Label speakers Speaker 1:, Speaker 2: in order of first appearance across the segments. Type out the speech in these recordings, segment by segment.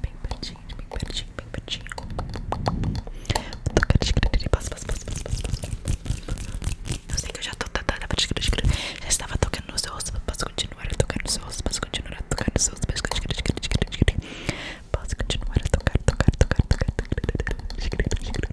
Speaker 1: Bem pertinho, bem pertinho, bem pertinho. Eu sei que eu já tô tentando. Já estava tocando nos ossos. Posso continuar a tocar nos ossos? Posso continuar a tocar nos ossos? Posso continuar a tocar, tocar, tocar, tocar. Tocar, tocar, tocar, tocar, tocar, tocar.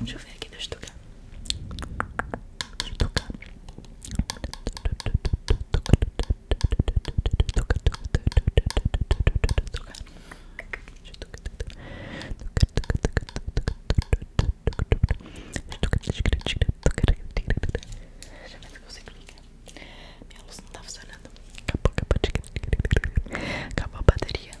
Speaker 1: Deixa eu ver aqui, deixa eu tocar. Deixa eu tocar. Deixa eu ver se consigo ligar. Minha luz não tá funcionando. Acabou, acabou, acabou a bateria.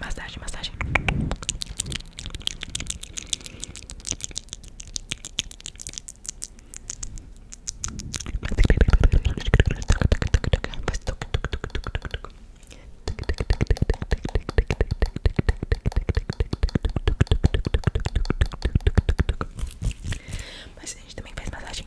Speaker 1: Massagem, massagem. Mas a gente também faz massagem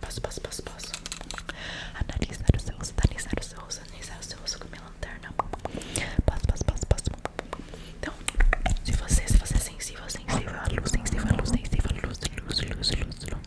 Speaker 1: Passo, passo, passo, passo. Analisar os seus, analisar os seus, analisar os seus com minha lanterna. Passo, passo, passo, passo. Então, se você, se você é sensível, sensível, à luz, sensível, à luz, sensível, à luz, luz, luz, luz, luz.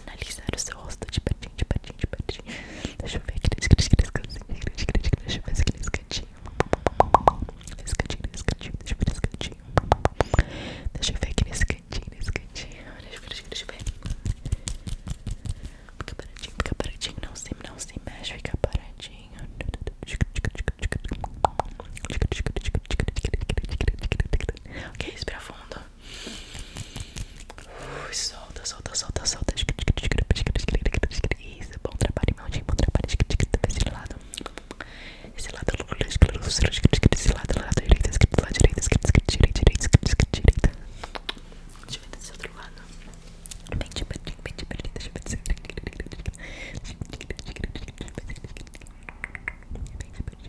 Speaker 1: analisar o seu rosto de patinho de patinho de patinho Deixa eu ver aqui nesse cantinho, deixa eu ver aqui nesse cantinho. Nesse cantinho, nesse cantinho, deixa eu ver nesse cantinho. Deixa eu ver aqui nesse cantinho, nesse cantinho. Deixa eu ver, deixa eu ver. Fica paradinho, fica paradinho, não se, não se mexe, fica paradinho. Ok, respira fundo. Ui, solta, solta, solta, solta. Isso, bom trabalho, meu dia, bom trabalho. Esse lado, esse lado, esse lado, lado direito, escrito, lado direito, escrito, direito, direito, direito. Deixa eu ver desse outro lado. Bem de pertinho, bem de pertinho, deixa eu ver desse outro lado. Bem de pertinho, bem de pertinho, bem de pertinho, bem de pertinho, bem de pertinho, bem de pertinho, bem de pertinho, bem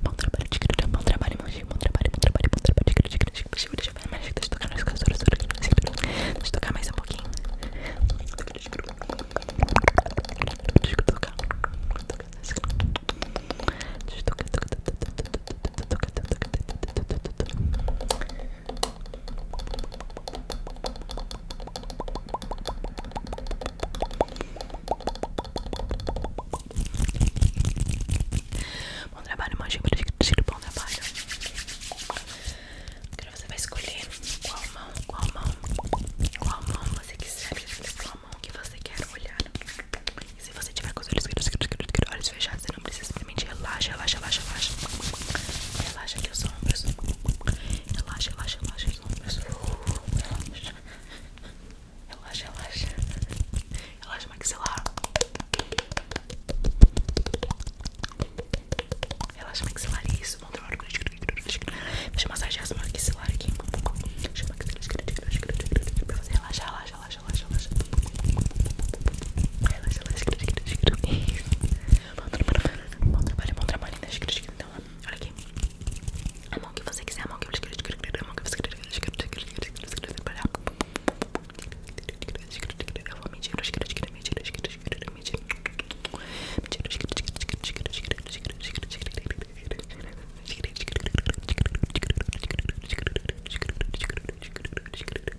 Speaker 1: Bom trabalho, bom trabalho, imagina, bom trabalho, bom trabalho, bom trabalho. Deixa eu ver, mas deixa eu tocar nas canções. Deixa eu tocar mais um pouquinho. Deixa eu tocar. Deixa eu tocar. Bom trabalho, magia para discutir bom trabalho. Agora você vai escolher qual mão, qual mão, qual mão você quiser, qual mão que você quer olhar. se você tiver com os olhos fechados, você não precisa simplesmente relaxa, relaxa, relaxa, relaxa. Relaxa aqui os ombros. Relaxa, relaxa, relaxa os ombros. Relaxa. Relaxa, relaxa. Relaxa o maxilar. Relaxa maxilar. Isso, vamos tomar Deixa eu massagear esse maxilar aqui. Deixa eu massagear. Pra relaxa. Relaxa, relaxa, relaxa, relaxa. Relaxa, relaxa, Bom trabalho, bom trabalho, bom trabalho. Deixa eu então. Olha aqui. A mão que você quiser, a mão que você quiser, a mão que você quiser. Eu vou mentir, mentir, mentir, mentir, mentir.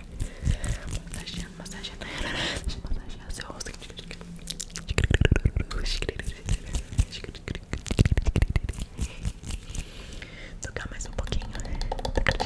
Speaker 1: sempre massageando, massageando, massageando seu rosto. Tocar mais um pouquinho. Tocar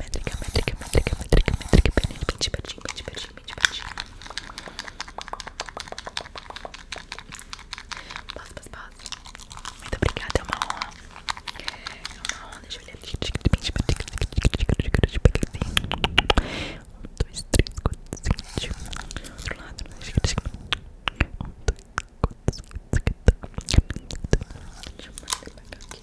Speaker 1: Métrica, métrica, métrica, métrica, métrica, pertinho, pertinho, pertinho, pertinho, pertinho. Posso, posso, posso? Muito obrigada, é uma honra. É uma honra, deixa eu olhar aqui. 1, 2, 3, 4, 5, 1. Outro lado, deixa eu ver. 1, 2, 3, 4, 5, 1. Deixa eu mandar pra cá aqui.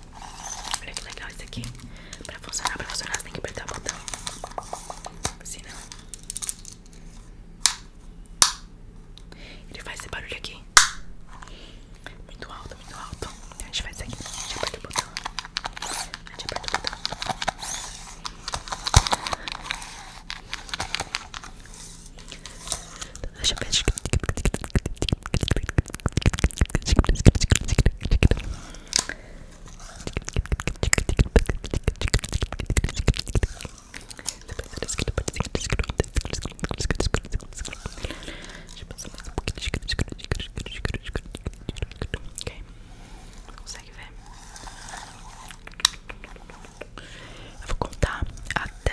Speaker 1: Olha que legal isso aqui. Pra funcionar, pra funcionar, você tem que apertar o botão. Senão assim, né? Ele faz esse barulho aqui. Muito alto, muito alto. A gente faz isso aqui. A gente aperta o botão. A gente aperta o botão. Deixa eu ver. Ok, consegue ver? Eu vou contar até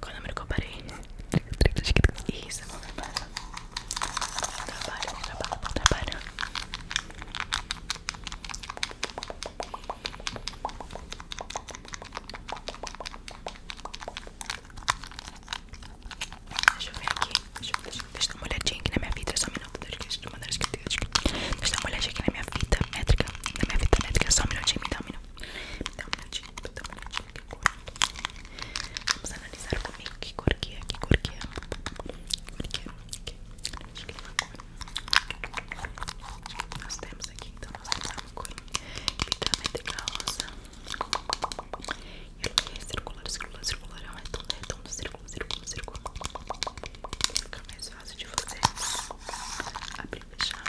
Speaker 1: Qual é o número que eu parei? Isso, não trabalha. Trabalha, não trabalha, não trabalha. Deixa eu ver aqui. Deixa eu, deixa, deixa eu dar uma olhadinha aqui na minha fita. Só um minuto. Deixa eu, dar uma olhadinha aqui na minha fita métrica. Só um minutinho. Me dá Me dá um minutinho. Me dá um minutinho. Vamos analisar comigo que cor que é, que cor que é. Cor que é. Okay. Nós temos aqui, então nós temos uma cor vitamina rosa. E ele é circular, circular, circular, é um redondo, redondo, círculo, círculo, círculo. Fica mais fácil de fazer abrir bem fechar.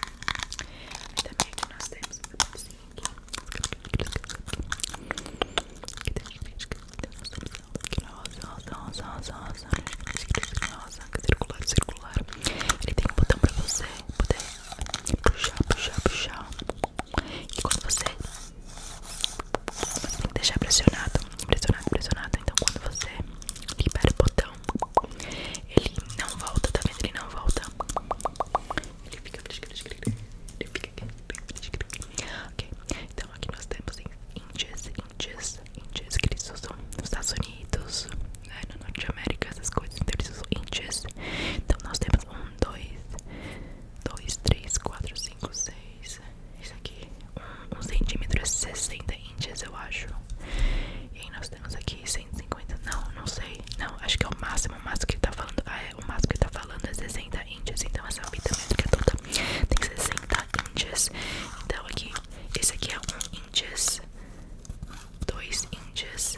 Speaker 1: E também aqui nós temos um papelzinho aqui. Que tem gente que tem uma solução aqui rosa, rosa, rosa, rosa, rosa. Rosa, circular, circular. Ele tem um botão pra você poder puxar, puxar, puxar. E quando você. Você tem que deixar pressionado, pressionado, pressionado. Então quando você libera o botão. Ele não volta, tá vendo? Ele não volta. Ele fica. Ele fica Ok, então aqui nós temos inches inches inches que eles usam nos Estados Unidos, né, na Norte América, essas coisas. Então eles usam índios. Então nós temos um, dois, dois, três, quatro, cinco, seis. Isso aqui, um, um centímetro, 60 inches eu acho. E aí nós temos aqui 150. Não, não sei. Não, acho que é o máximo. O máximo que ele tá falando. Ah, é. O máximo que ele tá falando é 60 inches Então essa pita mesmo que é toda. Tem 60 inches Então aqui. Esse aqui é 1 inches índios. 2 índios.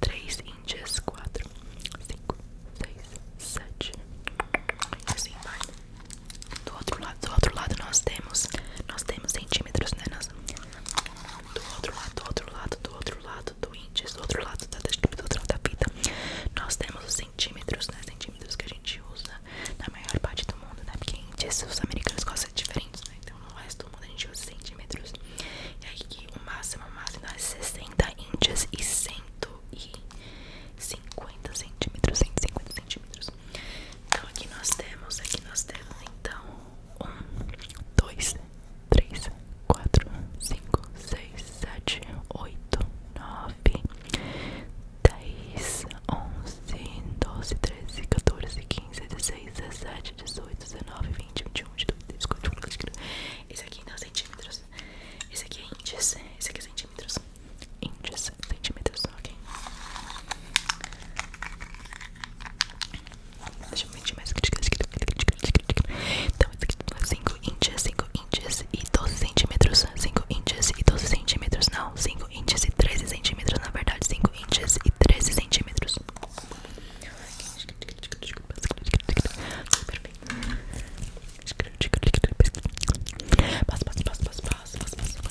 Speaker 1: 3 índios. 4, 5, 6, 7. E assim vai. Do outro lado, do outro lado nós temos. Nós temos centímetros, né? Nós do outro lado, do outro lado, do outro lado do índice, do outro lado da do outro lado da fita, nós temos os centímetros, né? Centímetros que a gente usa na maior parte do mundo, né? Porque os americanos gostam de diferentes, né? Então no resto do mundo a gente usa centímetros. E aí que o máximo, o máximo é 60 inches e 150 centímetros, 150 centímetros. Então aqui nós temos, aqui nós temos então um, dois, três, quatro, cinco, seis, sete, oito, nove, dez, onze, doze, treze, quatorze, quinze, dezesseis, dezessete, dezoito, dezenove, vinte, vinte e um, vinte dois, vinte quatro, vinte cinco. Esse aqui não é centímetros. Esse aqui é índice. Esse aqui é centímetros. Índice, centímetros, ok? Deixa eu medir mais. Então, 5 é inches, 5 inches e 12 centímetros. 5 inches e 12 centímetros. Não, 5 inches e 13 centímetros. Na verdade, 5 inches e 13 centímetros. Perfeito. passa, passa, passa, passa, passa.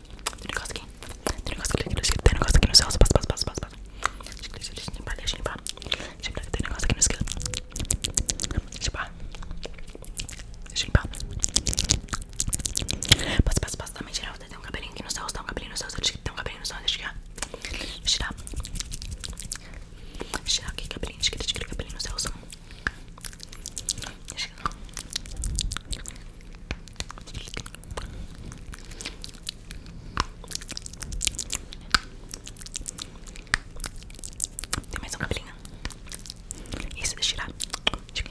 Speaker 1: Tem negócio aqui. Tem negócio aqui. no céu rosto. Passa, passa, passa, passa, passa. Deixa, deixa, limpar, deixa limpar. Deixa limpar. Tem um negócio aqui no esquerdo. Deixa limpar. Deixa limpar. Passa, passa, passa. Também tirar. Tem um cabelinho aqui no seu rosto. Tem um cabelinho no seu rosto. Tem um cabelinho no seu rosto. Deixa tirar. Deixa tirar. Deixa tirar aqui. Cabelinho. Deixa tirar cabelinho no seu rosto. Deixa tirar. Tem mais um cabelinho. Isso, de eu tirar. Deixa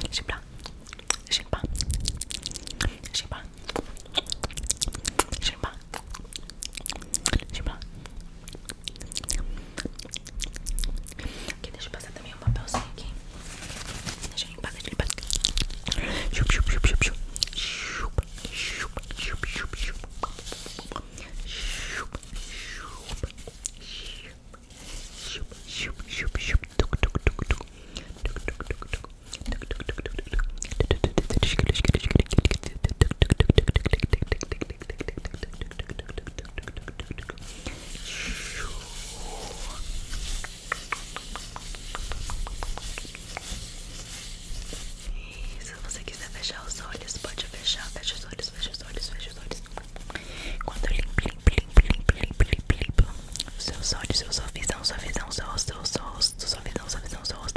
Speaker 1: eu tirar. Deixa eu limpar. Deixa Aqui, deixa eu passar também um papelzinho aqui. Deixa eu limpar, deixa eu limpar. Chup, chup, chup, chup, chup. Chup, chup, chup, chup, chup. Chup, chup, chup, chup, chup, chup. chup chup chup chup chup chup chup chup chup chup chup tuc, tuc. Tuc, tuc, tuc, tuc, tuc se você quiser fechar os olhos, pode fechar. Fecha os olhos, fecha os olhos, fecha os olhos. quando eu limpo, limpo, limpo, limpo, limpo, limpo, limpo. Seus olhos, seu sorrisão, sua visão, seu rosto, seu rosto, sua visão, sua visão, seu rosto.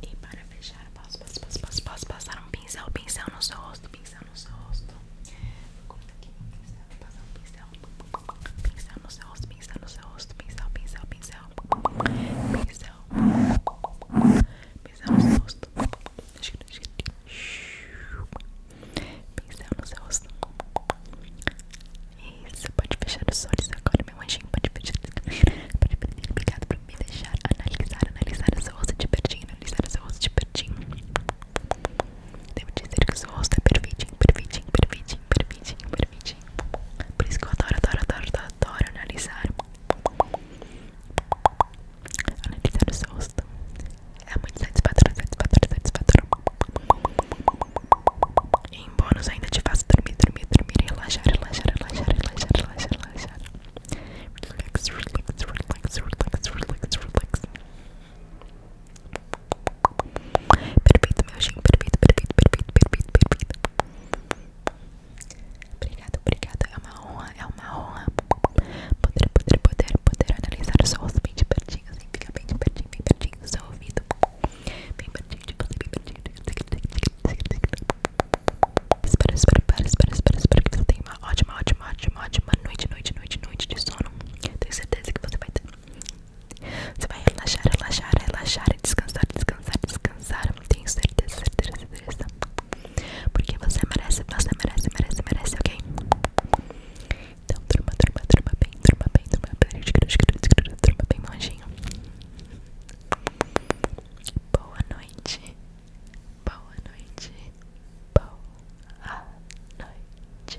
Speaker 1: E para fechar, posso, posso, posso, posso, posso passar um pincel, pincel no seu rosto, pincel no seu rosto. Corta aqui pincel, passar um pincel, pincel no seu pincel no seu pincel, pincel, pincel. Beijão. Beijão. Beijão no seu rosto. Beijão no seu rosto. Isso, pode fechar os olhos agora, meu anjinho. Pode fechar. Pode pedir Obrigado por me deixar analisar, analisar o seu rosto de pertinho, analisar o seu rosto de pertinho. Devo dizer que o seu rosto é perfeitinho, perfeitinho, perfeitinho, perfeitinho, perfeitinho. Por isso que eu adoro, adoro, adoro, adoro, adoro analisar analisar o seu rosto é muito satisfatório, satisfatório, satisfatório e em bônus ainda te faço dormir, dormir, dormir relaxar, relaxar, relaxar, relaxar, relaxar, relaxar relax, relax, relax, relax, relax, relax Perfeito, meu anjinho, perfeito, perfeito, perfeito, perfeito, perfeito. Obrigada, obrigada. É uma honra, é uma honra poder, poder, poder, poder analisar sons bem de pertinho, assim, fica bem de pertinho, bem pertinho do seu ouvido. Bem pertinho de você, bem pertinho de Espero, espero, espero, espero, espero, espero que você tenha uma ótima, ótima, ótima, ótima noite, noite, noite, noite de sono. Tenho certeza que você vai ter. Você vai relaxar, relaxar, relaxar e descansar, descansar, descansar não tenho certeza, certeza, certeza. Porque você merece, você merece, merece, merece, ok? Então, turma, turma, turma bem, turma bem, turma bem, turma bem, monjinho. Boa noite, boa noite, boa noite.